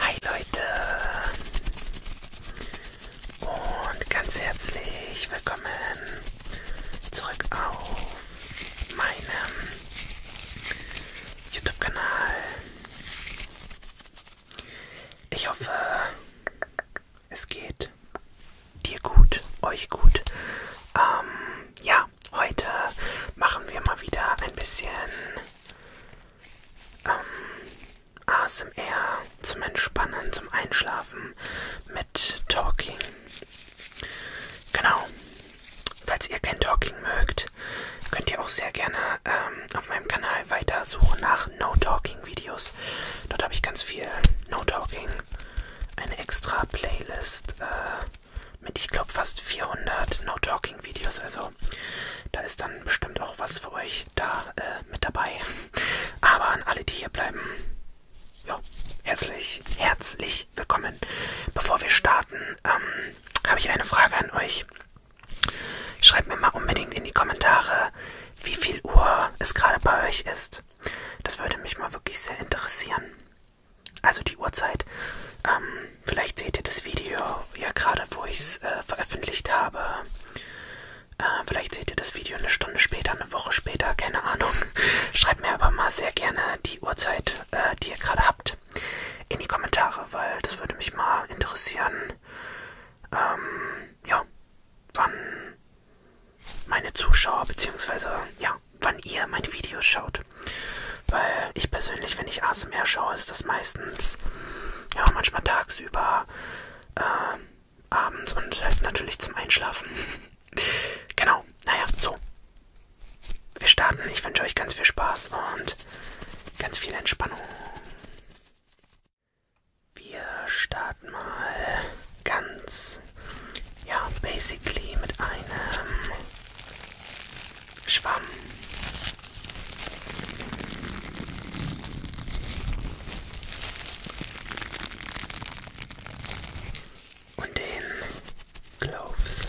Hi Leute und ganz herzlich willkommen zurück auf meinem YouTube-Kanal. Ich hoffe, es geht dir gut, euch gut. Ähm, ja, heute machen wir mal wieder ein bisschen ähm, ASMR zum Entspannen, zum Einschlafen mit Talking. Genau. Falls ihr kein Talking mögt, könnt ihr auch sehr gerne ähm, auf meinem Kanal weiter suchen nach No Talking Videos. Dort habe ich ganz viel No Talking, eine extra Playlist. Äh, mit, ich glaube, fast 400 No-Talking-Videos. Also da ist dann bestimmt auch was für euch da äh, mit dabei. Aber an alle, die hier bleiben, jo, herzlich, herzlich willkommen. Bevor wir starten, ähm, habe ich eine Frage an euch. Schreibt mir mal unbedingt in die Kommentare, wie viel Uhr es gerade bei euch ist. Das würde mich mal wirklich sehr interessieren also die Uhrzeit. Ähm, vielleicht seht ihr das Video ja gerade, wo ich es äh, veröffentlicht habe. Äh, vielleicht seht ihr das Video eine Stunde später, eine Woche später, keine Ahnung. Schreibt mir aber mal sehr gerne die Uhrzeit, äh, die ihr gerade habt, in die Kommentare, weil das würde mich mal interessieren. Ähm, ja, wann meine Zuschauer, beziehungsweise ja, wann ihr meine Videos schaut gut. Weil ich persönlich, wenn ich ASMR schaue, ist das meistens, ja, manchmal tagsüber, äh, abends und halt natürlich zum Einschlafen. genau, naja, so. Wir starten. Ich wünsche euch ganz viel Spaß und ganz viel Entspannung. Wir starten mal ganz, ja, basically mit einem Schwamm. Und den Gloves.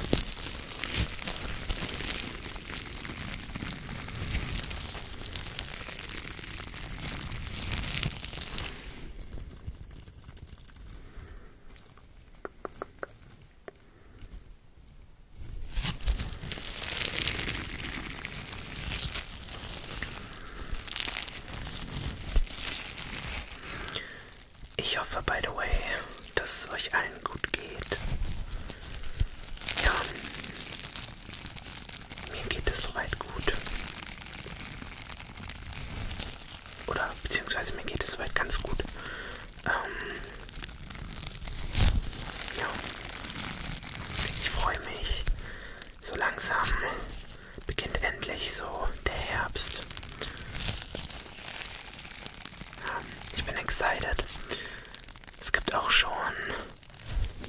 Ich hoffe, by the way, dass es euch allen gut geht. Ja, mir geht es soweit gut. Oder beziehungsweise mir geht es soweit ganz gut. Ähm, ja. Ich freue mich. So langsam beginnt endlich so der Herbst. Ähm, ich bin excited. Es gibt auch schon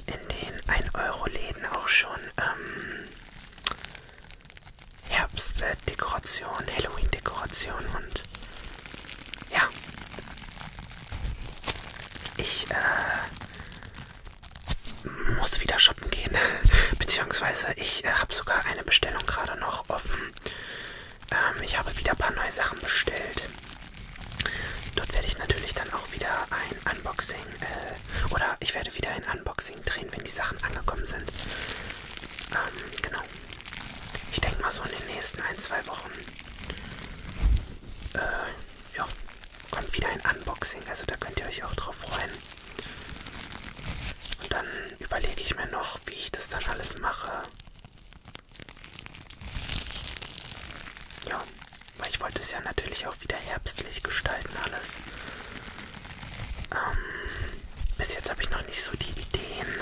in den 1-Euro-Läden auch schon ähm, Herbstdekoration, Halloween-Dekoration und ja. Ich äh, muss wieder shoppen gehen. Beziehungsweise ich äh, habe sogar eine Bestellung gerade noch offen. Ähm, ich habe wieder ein paar neue Sachen bestellt. Dort werde ich natürlich dann auch wieder ein Unboxing äh, oder ich werde wieder ein Unboxing drehen, wenn die Sachen angekommen sind. Ähm, genau. Ahnung. Ich denke mal so in den nächsten ein, zwei Wochen äh, ja, kommt wieder ein Unboxing. Also da könnt ihr euch auch drauf freuen. Und dann überlege ich mir noch, wie ich das dann alles mache. Ja, weil ich wollte es ja natürlich auch wieder herbstlich gestalten alles. Ähm, bis jetzt habe ich noch nicht so die Ideen.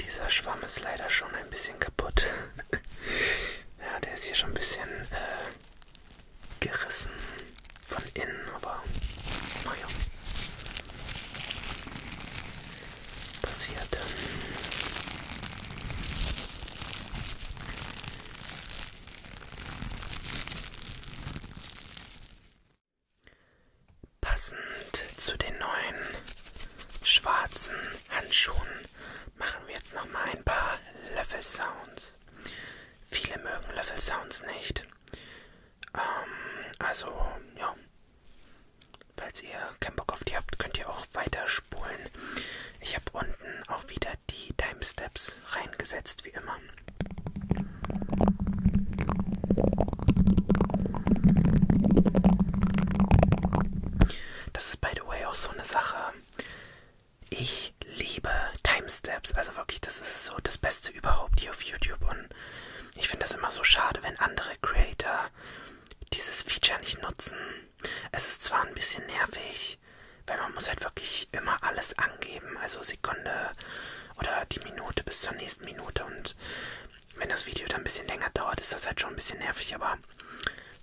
Dieser Schwamm ist leider schon ein bisschen kaputt. ja, der ist hier schon ein bisschen äh, gerissen von innen, aber naja. Passiert dann. Passend zu den neuen schwarzen Handschuhen machen wir jetzt nochmal ein paar Löffelsounds. Viele mögen Löffelsounds nicht. Ähm, also, ja. Falls ihr keinen Bock auf die habt, könnt ihr auch weiter spulen. Ich habe unten auch wieder die Timesteps reingesetzt, wie immer. Das ist by the way auch so eine Sache. Ich liebe Timesteps, also wirklich, das ist so das Beste überhaupt hier auf YouTube und ich finde das immer so schade, wenn andere Creator dieses Feature nicht nutzen. Es ist zwar ein bisschen nervig, weil man muss halt wirklich immer alles angeben, also Sekunde oder die Minute bis zur nächsten Minute und wenn das Video dann ein bisschen länger dauert, ist das halt schon ein bisschen nervig, aber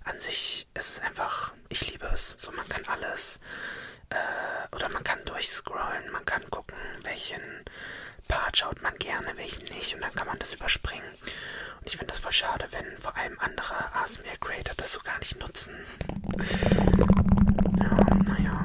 an sich ich, es ist einfach, ich liebe es. So, man kann alles äh, oder man kann durchscrollen, man kann gucken, welchen Part schaut man gerne, welchen nicht und dann kann man das überspringen. Und ich finde das voll schade, wenn vor allem andere ASMR-Creator das so gar nicht nutzen. Ja, naja.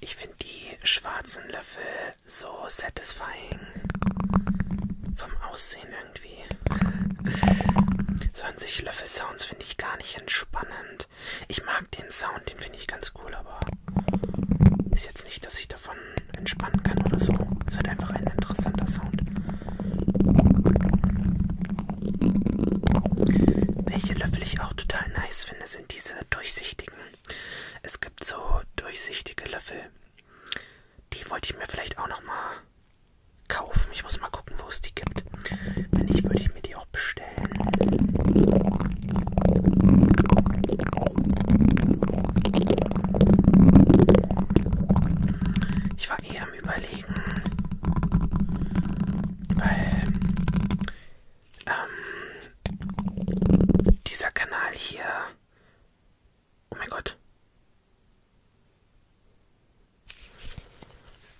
Ich finde die schwarzen Löffel so satisfying vom Aussehen irgendwie. 20 Löffel Sounds finde ich gar nicht entspannend. Ich mag den Sound, den finde ich ganz cool, aber ist jetzt nicht, dass ich davon entspannen kann oder so. Ist halt einfach ein interessanter Sound. Welche Löffel ich auch total nice finde, sind diese durchsichtigen. Es gibt so durchsichtige Löffel. Die wollte ich mir vielleicht auch nochmal kaufen. Ich muss mal gucken, wo es die gibt. Wenn nicht, würde ich mir die auch bestellen. Ich war eher am Überlegen, weil ähm, dieser Kanal hier. Oh mein Gott,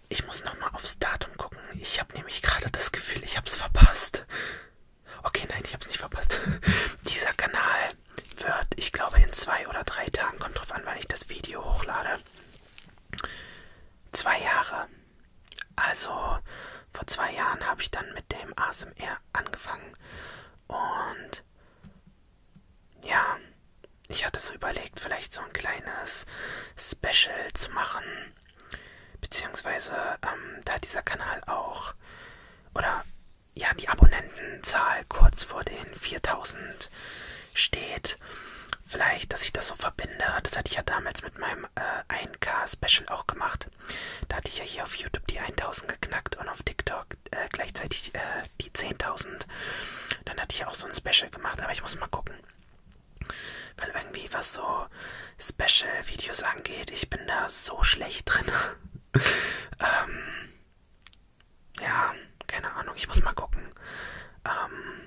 ich muss nochmal aufs Datum gucken. Ich habe nämlich gerade das Gefühl, ich hab's verpasst. Okay, nein, ich hab's nicht verpasst. Dieser Kanal wird, ich glaube, in zwei oder drei Tagen, kommt drauf an, wann ich das Video hochlade. Zwei Jahre. Also vor zwei Jahren habe ich dann mit dem ASMR angefangen und ja, ich hatte so überlegt, vielleicht so ein kleines Special zu machen. Beziehungsweise, ähm, da dieser Kanal auch, oder ja, die Abonnentenzahl kurz vor den 4000 steht, vielleicht, dass ich das so verbinde. Das hatte ich ja damals mit meinem äh, 1K-Special auch gemacht. Da hatte ich ja hier auf YouTube die 1000 geknackt und auf TikTok äh, gleichzeitig äh, die 10.000. Dann hatte ich auch so ein Special gemacht, aber ich muss mal gucken. Weil irgendwie, was so Special-Videos angeht, ich bin da so schlecht drin. ähm, ja, keine Ahnung, ich muss mal gucken. Ähm,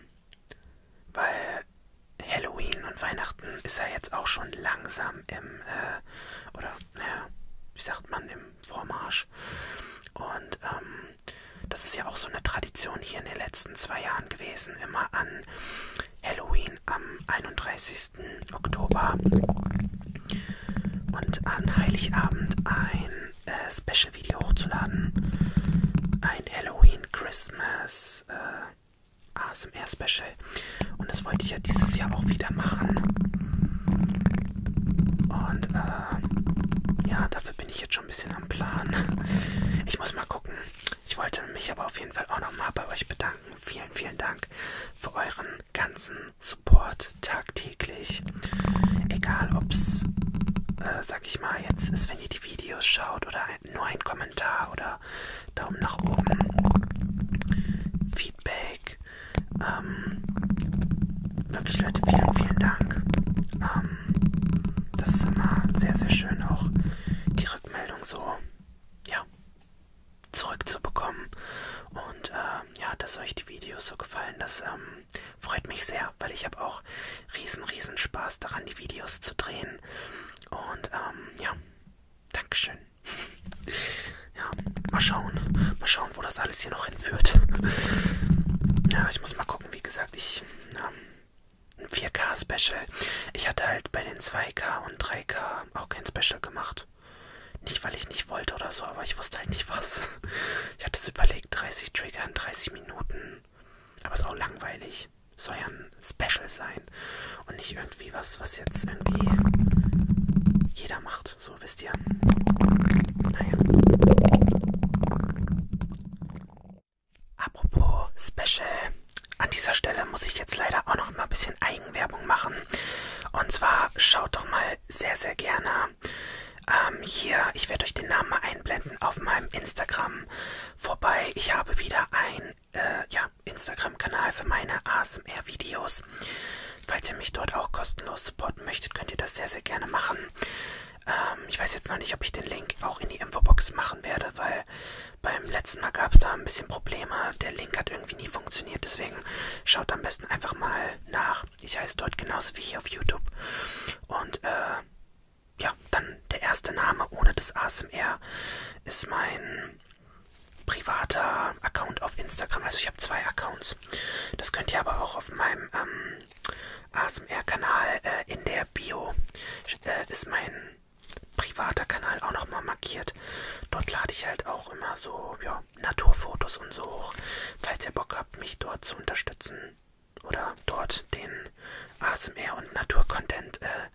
weil Halloween und Weihnachten ist ja jetzt auch schon langsam im, äh, oder naja, wie sagt man, im Vormarsch. Und ähm, das ist ja auch so eine Tradition hier in den letzten zwei Jahren gewesen, immer an Halloween am 31. Oktober und an Heiligabend ein äh, Special-Video hochzuladen. Ein Halloween-Christmas äh, ASMR-Special. Und das wollte ich ja dieses Jahr auch wieder machen. Und äh, ja, dafür bin ich jetzt schon ein bisschen am Plan. Ich muss mal gucken. Ich wollte mich aber auf jeden Fall auch nochmal bei euch bedanken. Vielen, vielen Dank für euren ganzen Support tagtäglich. Egal ob's, äh, sag ich mal, jetzt ist, wenn ihr die Videos schaut oder ein, nur ein Kommentar oder Daumen nach oben. Feedback, ähm, wirklich Leute, vielen, vielen Dank. Ähm, das ist immer sehr, sehr schön, auch die Rückmeldung so ja, zurückzubekommen. Und äh, ja, dass euch die Videos so gefallen, das ähm, freut mich sehr, weil ich habe auch riesen, riesen Spaß daran, die Videos zu drehen. Und ähm, ja, Dankeschön. Ja, mal schauen. Mal schauen, wo das alles hier noch hinführt. Ja, ich muss mal gucken, wie gesagt, ich. Ja, ähm, ein 4K-Special. Ich hatte halt bei den 2K und 3K auch kein Special gemacht. Nicht, weil ich nicht wollte oder so, aber ich wusste halt nicht was. Ich hatte es überlegt, 30 Trigger in 30 Minuten. Aber ist auch langweilig. Soll ja ein Special sein. Und nicht irgendwie was, was jetzt irgendwie jeder macht gemacht. So, wisst ihr. Naja. Apropos Special. An dieser Stelle muss ich jetzt leider auch noch mal ein bisschen Eigenwerbung machen. Und zwar schaut doch mal sehr, sehr gerne ähm, hier, ich werde euch den Namen mal einblenden, auf meinem Instagram vorbei. Ich habe wieder ein äh, ja, Instagram-Kanal für meine ASMR-Videos. Falls ihr mich dort auch kostenlos supporten möchtet, könnt ihr das sehr, sehr gerne machen. Ähm, ich weiß jetzt noch nicht, ob ich den Link auch in die Infobox machen werde, weil beim letzten Mal gab es da ein bisschen Probleme. Der Link hat irgendwie nie funktioniert, deswegen schaut am besten einfach mal nach. Ich heiße dort genauso wie hier auf YouTube. Und äh, ja, dann der erste Name ohne das ASMR ist mein privater Account auf Instagram. Also ich habe zwei Accounts aus. Das könnt ihr aber auch auf meinem ähm, ASMR-Kanal äh, in der Bio äh, ist mein privater Kanal auch nochmal markiert. Dort lade ich halt auch immer so ja, Naturfotos und so hoch, falls ihr Bock habt, mich dort zu unterstützen oder dort den ASMR und Naturcontent äh,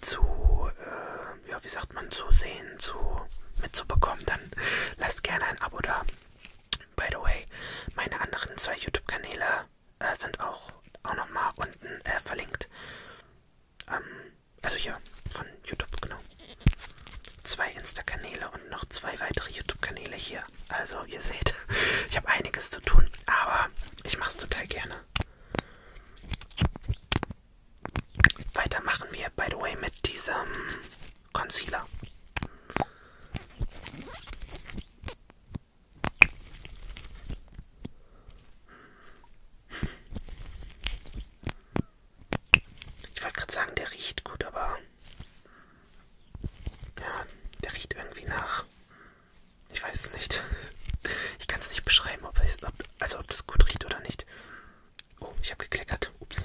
zu, äh, ja, wie sagt man, zu sehen, zu mitzubekommen, dann lasst gerne ein Abo da. By the way, meine anderen zwei YouTube-Kanäle äh, sind auch, auch nochmal unten äh, verlinkt. Ähm, also hier, von YouTube, genau. Zwei Insta-Kanäle und noch zwei weitere YouTube-Kanäle hier. Also ihr seht, ich habe einiges zu tun, aber ich mache es total gerne. Weiter machen wir, by the way, mit diesem Concealer. Ich wollte gerade sagen, der riecht gut, aber ja, der riecht irgendwie nach. Ich weiß es nicht. Ich kann es nicht beschreiben, ob es, ob, also ob das gut riecht oder nicht. Oh, ich habe gekleckert. Ups.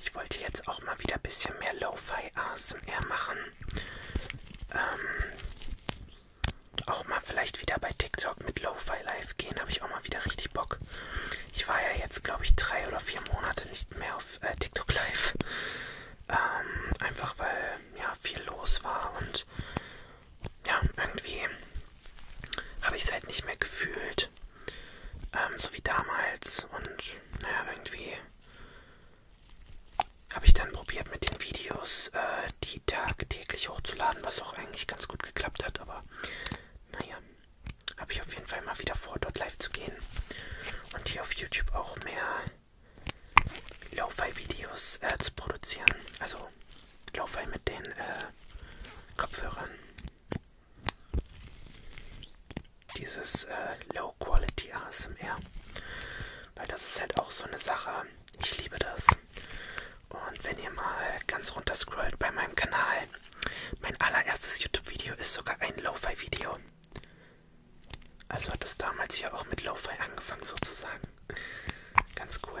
Ich wollte jetzt auch mal wieder ein bisschen mehr Lo-Fi ASMR machen. Ähm, auch mal vielleicht wieder bei TikTok mit Lo-Fi Live gehen, habe ich auch mal wieder richtig Bock. Ich war ja jetzt, glaube ich, drei oder vier Monate nicht mehr auf äh, TikTok Live. Ähm, einfach weil ja viel los war und ja, irgendwie habe ich es halt nicht mehr gefühlt. Ähm, so wie damals. Und naja, irgendwie habe ich dann probiert mit den Videos, äh, die tagtäglich hochzuladen, was auch eigentlich ganz gut geklappt hat. Aber naja, habe ich auf jeden Fall mal wieder vor, dort live zu gehen. Und hier auf YouTube auch mehr Lo-Fi-Videos äh, zu produzieren. Also ich laufe halt mit den äh, Kopfhörern. Dieses äh, Low Quality ASMR. Weil das ist halt auch so eine Sache. Ich liebe das. Und wenn ihr mal ganz runter scrollt bei meinem Kanal, mein allererstes YouTube-Video ist sogar ein Lo-Fi-Video. Also hat es damals hier auch mit Lo-Fi angefangen sozusagen. Ganz cool.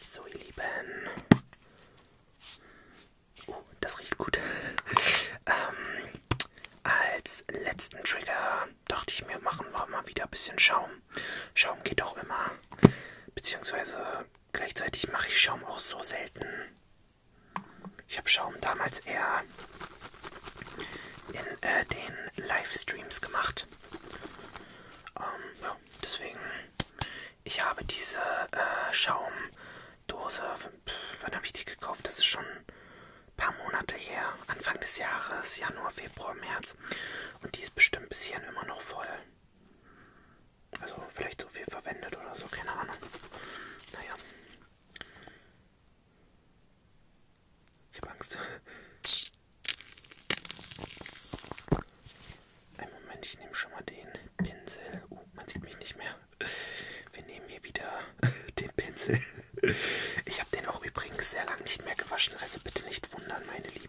So, ihr Lieben. Oh, das riecht gut. ähm, als letzten Trigger dachte ich mir, machen wir mal wieder ein bisschen Schaum. Schaum geht auch immer. Beziehungsweise Gleichzeitig mache ich Schaum auch so selten. Ich habe Schaum damals eher in äh, den Livestreams gemacht. Ähm, ja, deswegen, ich habe diese äh, Schaumdose, wann habe ich die gekauft? Das ist schon ein paar Monate her, Anfang des Jahres, Januar, Februar, März. Und die ist bestimmt bis hierhin immer noch voll. Also vielleicht so viel verwendet oder so, keine Ahnung. Naja. Ich habe Angst. Einen Moment, ich nehme schon mal den Pinsel. Oh, man sieht mich nicht mehr. Wir nehmen hier wieder den Pinsel. Ich habe den auch übrigens sehr lange nicht mehr gewaschen, also bitte nicht wundern, meine Lieben.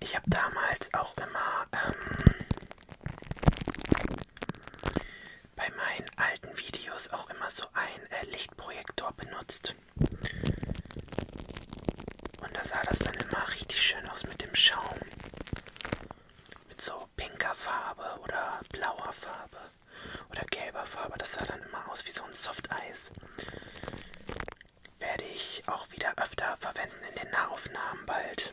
Ich habe damals auch immer ähm, bei meinen alten Videos auch immer so einen äh, Lichtprojektor benutzt. Und da sah das dann immer richtig schön aus mit dem Schaum. Mit so pinker Farbe oder blauer Farbe oder gelber Farbe. Das sah dann immer aus wie so ein Softeis. Werde ich auch wieder öfter verwenden in den Nahaufnahmen bald.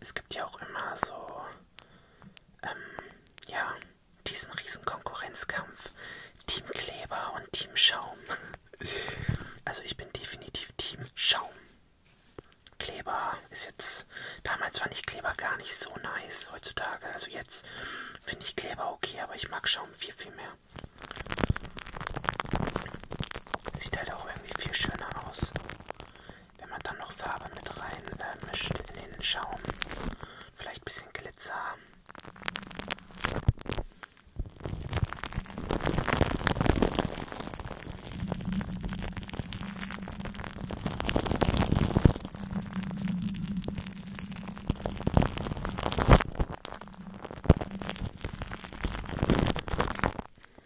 es gibt ja auch immer so, ähm, ja, diesen riesen Konkurrenzkampf. Team Kleber und Team Schaum. Also ich bin definitiv Team Schaum. Kleber ist jetzt, damals fand ich Kleber gar nicht so nice heutzutage. Also jetzt finde ich Kleber okay, aber ich mag Schaum viel, viel mehr. Sieht halt auch irgendwie viel schöner aus, wenn man dann noch Farbe mit rein äh, mischt in den Schaum. Vielleicht ein bisschen Glitzer.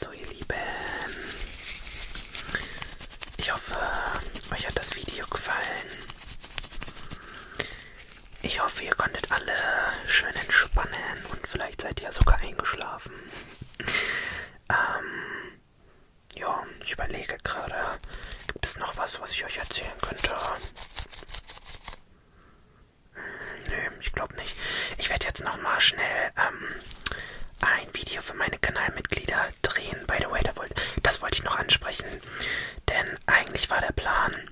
So ihr Lieben, ich hoffe, euch hat das Video gefallen. Ich hoffe, ihr konntet alle schön entspannen und vielleicht seid ihr ja sogar eingeschlafen. Ähm, ja, ich überlege gerade, gibt es noch was, was ich euch erzählen könnte? Hm, nö, ich glaube nicht. Ich werde jetzt nochmal schnell ähm, ein Video für meine Kanalmitglieder drehen. By the way, das wollte ich noch ansprechen, denn eigentlich war der Plan,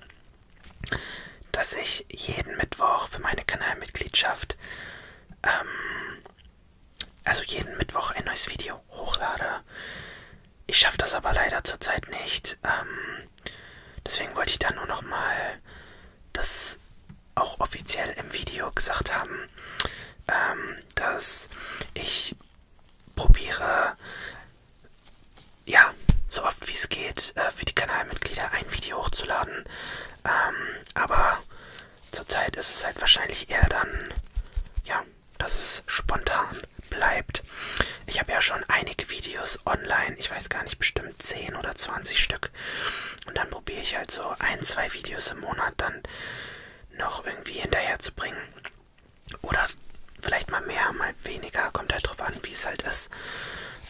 dass ich jeden Mittwoch für meine Kanalmitgliedschaft, ähm, also jeden Mittwoch ein neues Video hochlade. Ich schaffe das aber leider zurzeit nicht. Ähm, deswegen wollte ich da nur nochmal das auch offiziell im Video gesagt haben, ähm, dass ich probiere ja, so oft wie es geht, äh, für die Kanalmitglieder ein Video hochzuladen. Ähm, aber zurzeit ist es halt wahrscheinlich eher dann, ja, dass es spontan bleibt. Ich habe ja schon einige Videos online, ich weiß gar nicht, bestimmt 10 oder 20 Stück. Und dann probiere ich halt so ein, zwei Videos im Monat dann noch irgendwie hinterher zu bringen. Oder vielleicht mal mehr, mal weniger, kommt halt drauf an, wie es halt ist.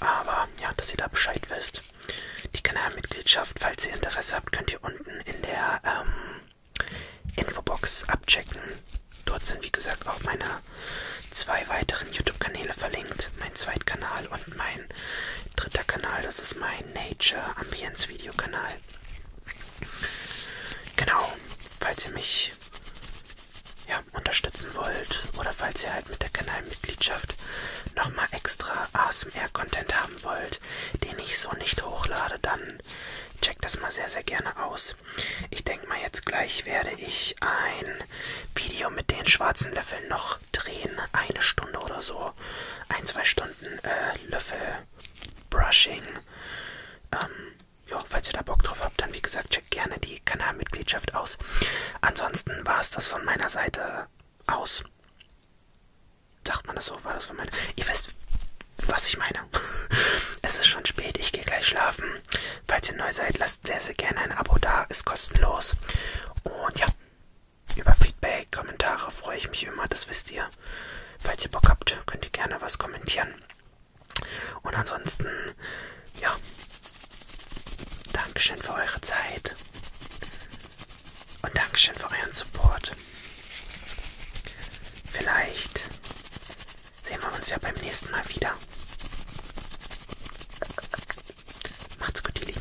Aber ja, dass ihr da Bescheid wisst. Die Kanalmitgliedschaft, falls ihr Interesse habt, könnt ihr unten in der ähm, Infobox abchecken. Dort sind wie gesagt auch meine zwei weiteren YouTube-Kanäle verlinkt. Mein Zweitkanal und mein dritter Kanal, das ist mein Nature Ambience Videokanal. Genau, falls ihr mich ja, unterstützen wollt oder falls ihr halt mit der Kanalmitgliedschaft nochmal extra ASMR-Content haben wollt, den ich so nicht hochlade, dann checkt das mal sehr, sehr gerne aus. Ich denke mal, jetzt gleich werde ich ein Video mit den schwarzen Löffeln noch drehen. Eine Stunde oder so. Ein, zwei Stunden äh, Löffel-Brushing. Ähm, ja, falls ihr da Bock drauf habt, dann wie gesagt, checkt gerne die Kanalmitgliedschaft aus. Ansonsten war es das von meiner Seite aus. Sagt man das so? War das von meiner? Ihr wisst, was ich meine. es ist schon spät, ich gehe gleich schlafen. Falls ihr neu seid, lasst sehr, sehr gerne ein Abo da, ist kostenlos. Und ja, über Feedback, Kommentare freue ich mich immer, das wisst ihr. Falls ihr Bock habt, könnt ihr gerne was kommentieren. Und ansonsten, ja, Dankeschön für eure Zeit und Dankeschön für euren Support. Vielleicht sehen wir uns ja beim nächsten Mal wieder. Macht's gut, ihr Lieben.